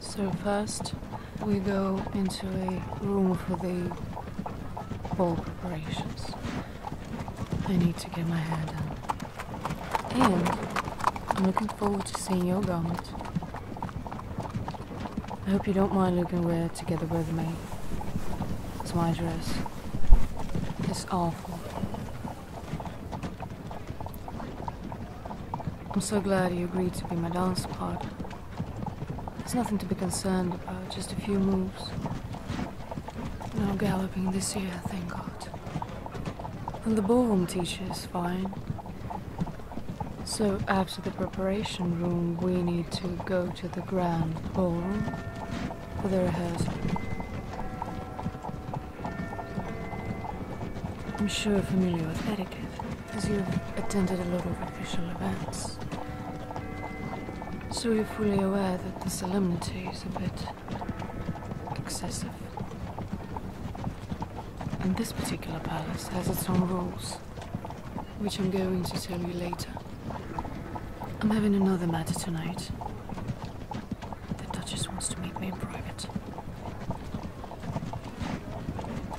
So first, we go into a room for the ball preparations. I need to get my hair done. And I'm looking forward to seeing your garment. I hope you don't mind looking weird together with me. It's my dress. It's awful. I'm so glad you agreed to be my dance partner. It's nothing to be concerned about, just a few moves. No galloping this year, thank God. And the ballroom teacher is fine. So after the preparation room, we need to go to the grand ballroom for the rehearsal. I'm sure you're familiar with etiquette, as you've attended a lot of official events. So you're fully aware that the solemnity is a bit excessive. And this particular palace has its own rules, which I'm going to tell you later. I'm having another matter tonight. The Duchess wants to meet me in private.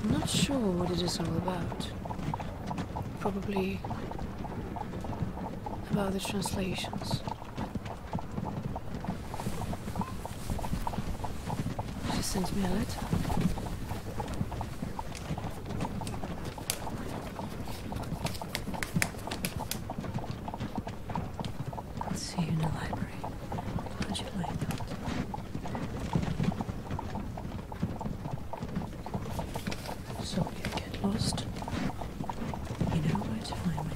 I'm not sure what it is all about. Probably about the translations. She sent me a letter. see you in the library. How'd you So you get lost, you know where to find me.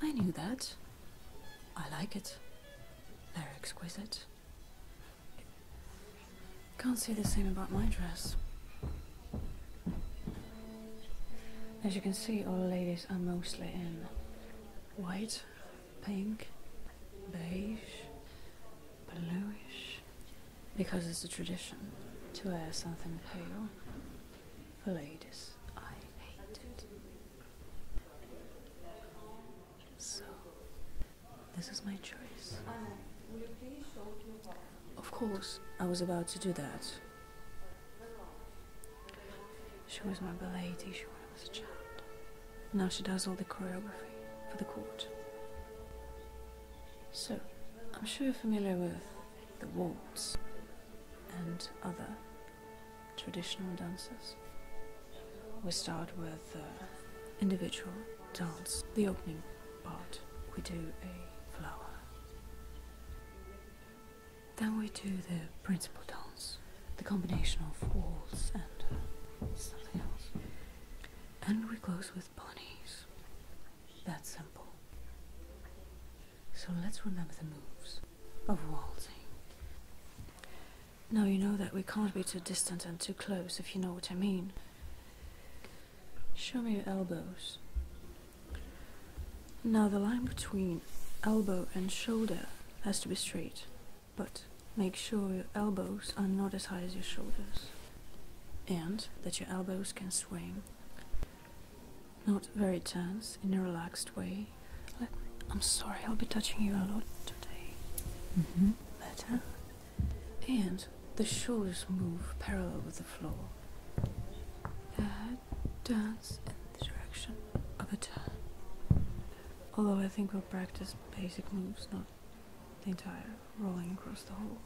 I knew that. I like it. They're exquisite. Can't say the same about my dress. As you can see, all the ladies are mostly in white pink, beige, bluish, because it's a tradition to wear something pale. For ladies, I hate it. So, this is my choice. Of course, I was about to do that. She was my lady, she as a child. Now she does all the choreography for the court. So, I'm sure you're familiar with the waltz and other traditional dances. We start with uh, individual dance, the opening part. We do a flower. Then we do the principal dance, the combination of walls and something else. And we close with Bonnie's. That simple. So let's remember the moves of waltzing. Now you know that we can't be too distant and too close, if you know what I mean. Show me your elbows. Now the line between elbow and shoulder has to be straight but make sure your elbows are not as high as your shoulders and that your elbows can swing. Not very tense, in a relaxed way. I'm sorry, I'll be touching you a lot today. Mm-hmm. Better. And the shoulders move parallel with the floor. That head turns in the direction of the tail. Although I think we'll practice basic moves, now the entire rolling across the hall.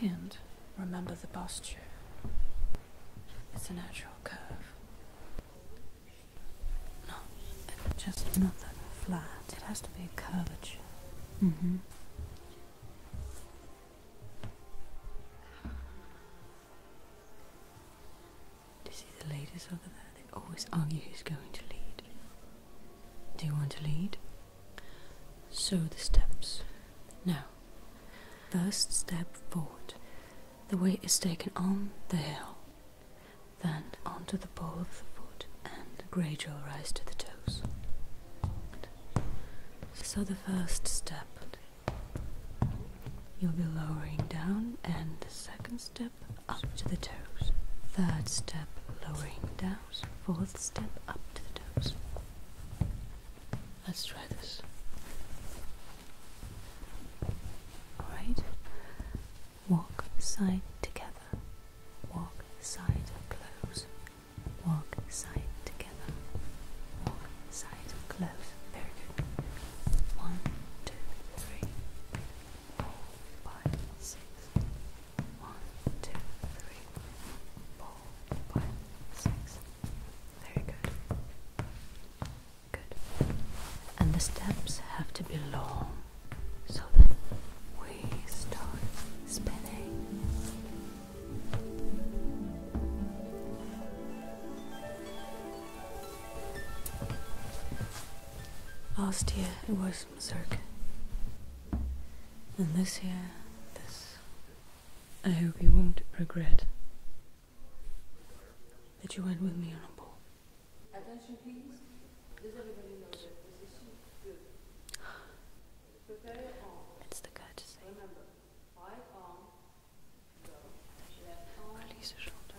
And remember the posture. It's a natural curve. No, just not that flat. It has to be a curvature. Mm-hmm. To see the ladies over there, they always argue who's going to lead. Do you want to lead? So the steps. Now, first step forward. The weight is taken on the heel, then onto the ball of the foot, and gradual rise to the toes. So the first step, you'll be lowering down, and the second step, up to the toes. Third step, lowering down. Fourth step, up to the toes. Let's try this. Alright. Walk side together. Walk side close. Walk side together. Walk side close. Very good. One, two, three four, five, six. One, Very good. Good. And the steps have to be long so that we start spinning. Last year it was Mazurka. And this year, this. I hope you won't regret that you went with me on a ball. Attention, please. Does everybody know their position? Good. It's the courtesy. Remember, right arm. Go. Left Release the shoulder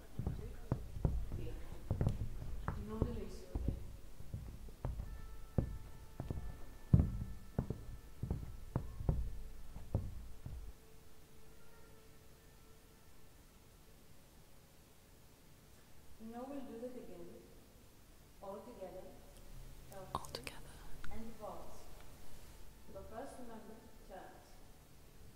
Now we'll do that again, all together. And pause. But first remember, turns.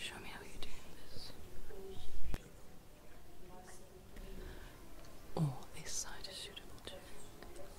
Show me how you're doing this. Or oh, this side is suitable too.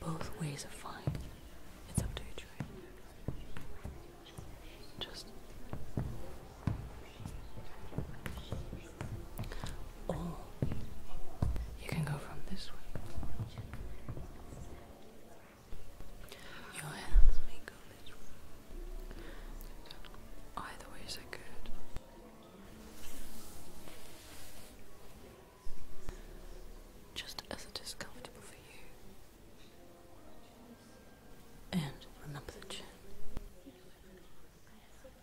Both ways are fine. It's up to you, Just. Oh, you can go from this way. Your hands may go this way. Either way is good. Just as it is comfortable for you. And remember the chin.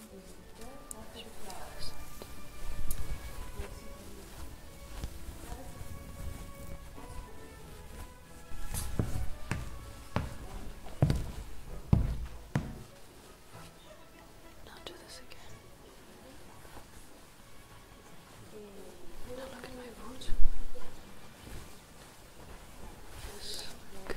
Now do this again. Now look at my boot. Yes, good.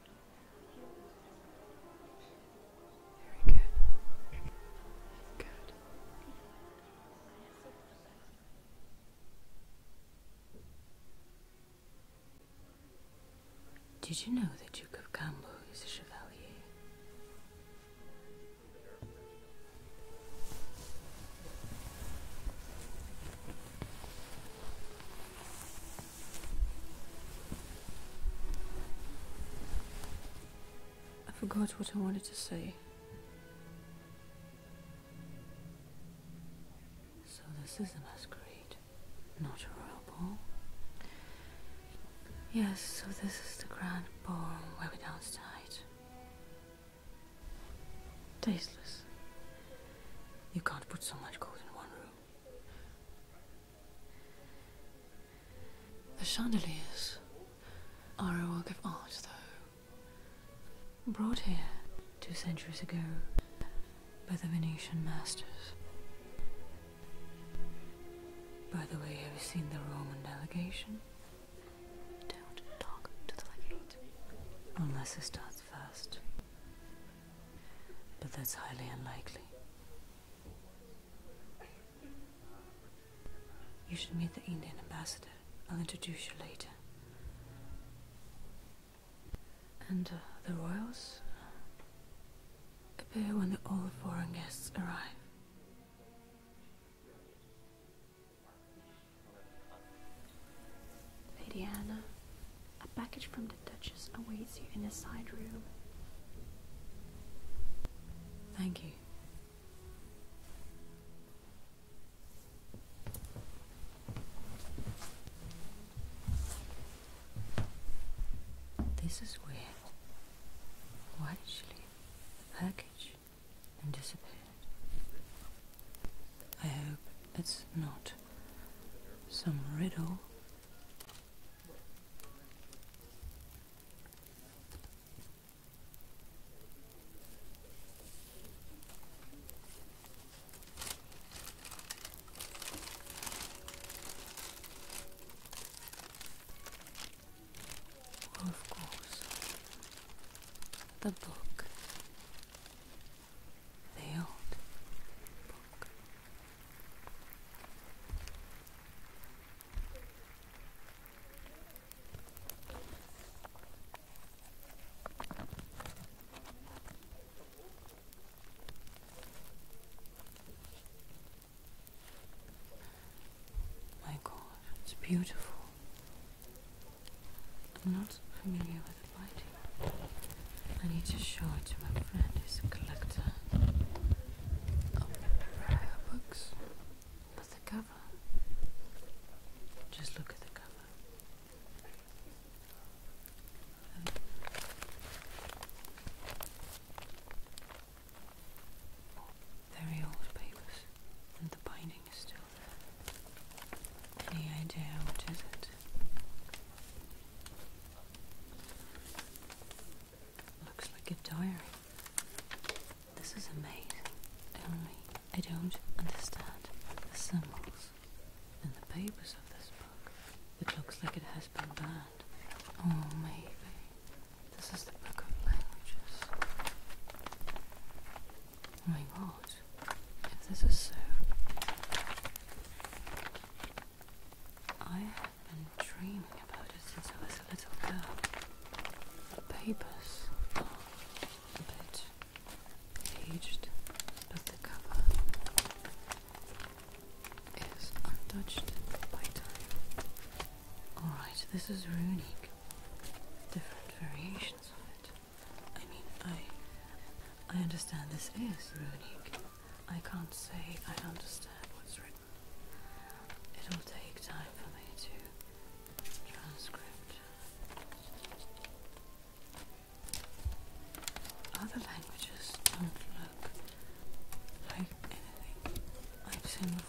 Very good. Good. Did you know the Duke of Cambo is a chevalier? I forgot what I wanted to say. So this is a masquerade, not a royal ball. Yes, so this is the grand ball where we danced tonight. Tasteless. You can't put so much gold in one room. The chandeliers are a work of art, though, brought here two centuries ago by the Venetian masters. By the way, have you seen the Roman delegation? Don't talk to the legate. Unless he starts first. But that's highly unlikely. You should meet the Indian ambassador. I'll introduce you later. And uh, the royals appear when all the foreign guests arrive. Lady Anna, a package from the Duchess awaits you in a side room. Thank you. This is weird. Why did she leave the package and disappeared? I hope it's not some riddle of course, the book Failed. My God, it's beautiful. I'm not familiar the binding. I need to show it to my friend who's a collector of rare books. But the cover. Just look at the cover. very old papers, and the binding is still there. Any idea what is it? Looks like a diary. This is amazing. Only I don't understand the symbols in the papers of this book. It looks like it has been burned. Oh, maybe this is the book of languages. Oh my God! If this is so, I have been dreaming about it since I was a little girl. The papers are a bit aged, but the cover is untouched by Alright, this is runic. Different variations of it. I mean, I I understand this is runic. I can't say I understand what's written. It'll take time for me to transcript. Other languages don't look like anything I've seen before.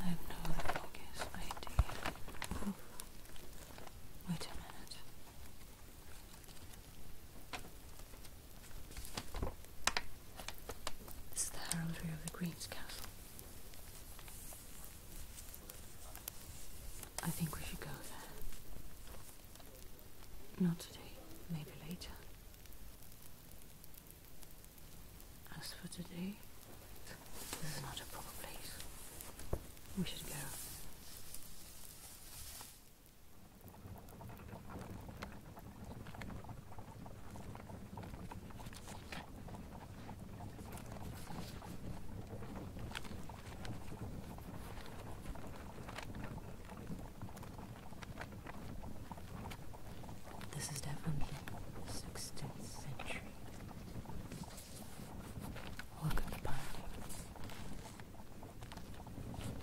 I have no other idea. Wait a minute. This is the heraldry of the Green's Castle. I think we should go there. Not today, maybe later. As for today, this is not a proper place. We should go. This is definitely 16th century. Look at the bindings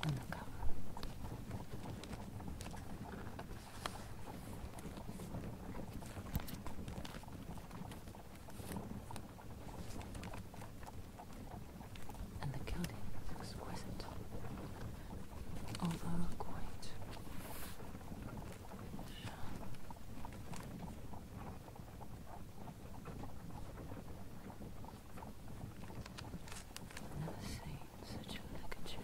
on the cover. And the gilding is exquisite although quite I've never seen such a look at you.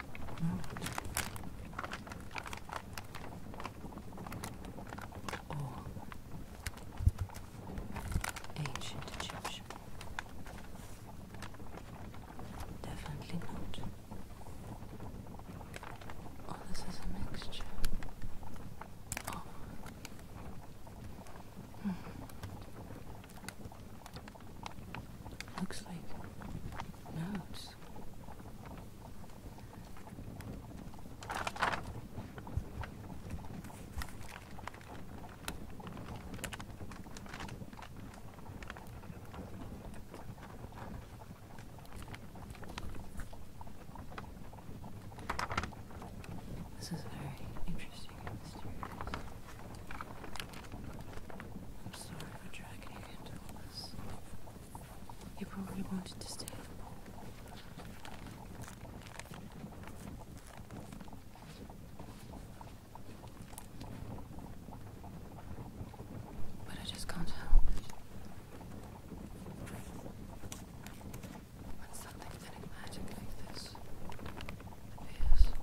ancient Egyptian. Definitely not. Oh, this is a mixture. Oh. Hmm. Looks like notes. This is very interesting and mysterious. I'm sorry for dragging you probably wanted to stay But I just can't help it. When something enigmatic like this appears,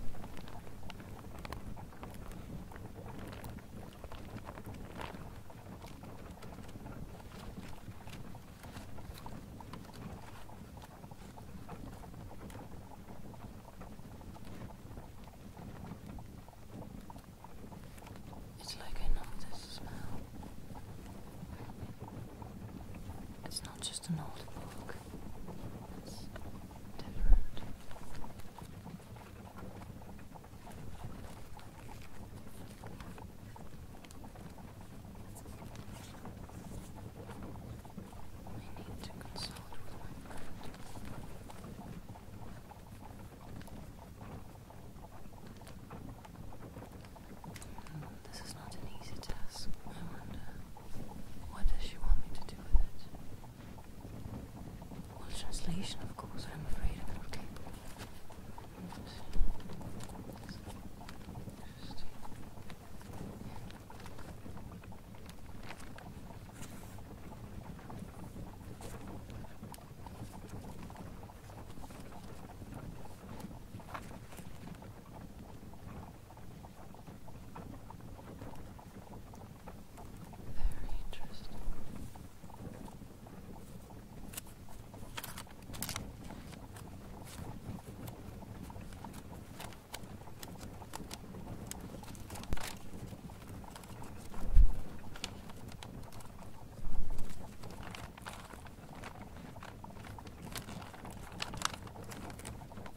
it's like I know this smell. It's not just an old book, it's different. I need to consult with my friend. this is not an easy task. I wonder what does she want me to do with it? Well, translation, of course, I'm afraid of it. Very interesting. Very